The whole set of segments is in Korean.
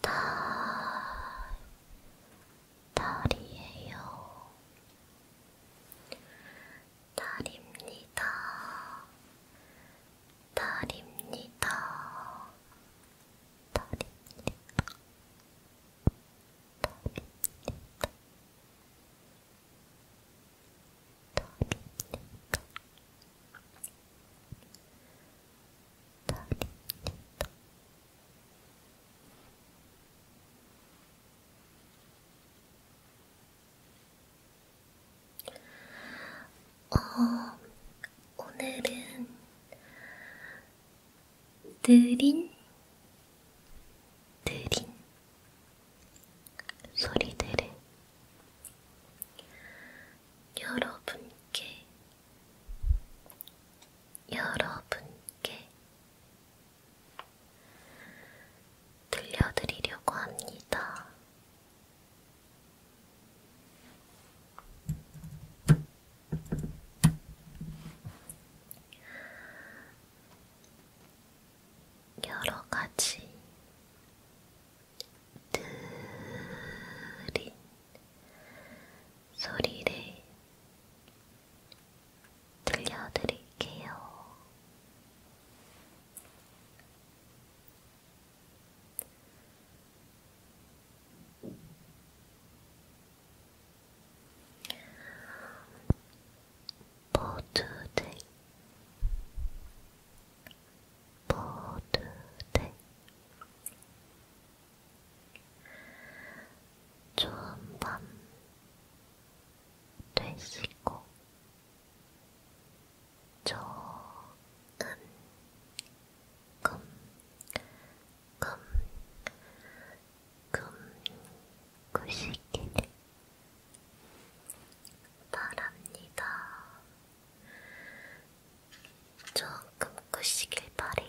달, 달이에요. 달입니다. 달입니다. 달입니다. 달입니다. 달입니다. 기다립니다. 어, 오늘은 느린, 느린 소리들을 여러분께 여러분께 들려드리려고 합니다. 여러 가지 느린 소리를 들려드릴게요. 모두들 모두 돼. 좋은 밤 되시고 좋은 꿈, 꿈, 꿈 꾸시길 바랍니다. 조금 꾸시길 바래요.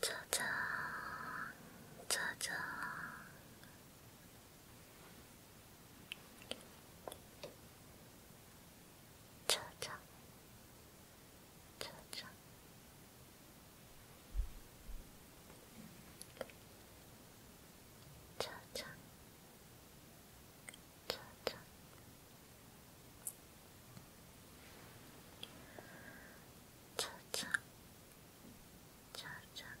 짜잔, 짜잔. 짜잔, 찾아. 찾아. 찾아. 찾아. 찾아. 차차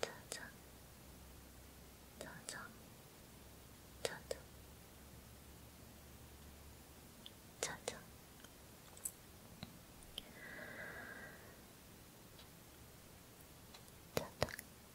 짜잔, 짜잔, 짜잔, 짜잔. 짜잔,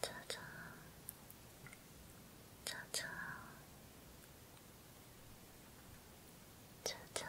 짜잔, 짜잔. 짜잔, 짜잔, 짜잔,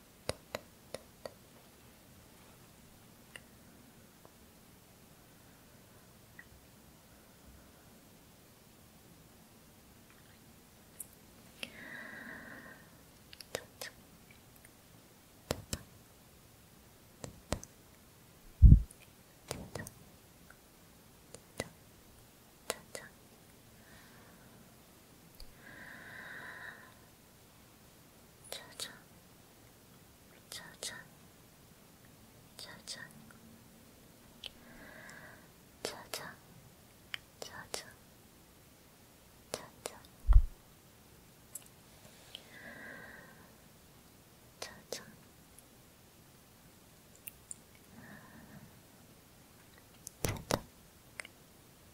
짜잔 짜잔, 짜잔, 짜잔, 짜잔, 짜잔, 짜잔, 짜잔. 짜잔,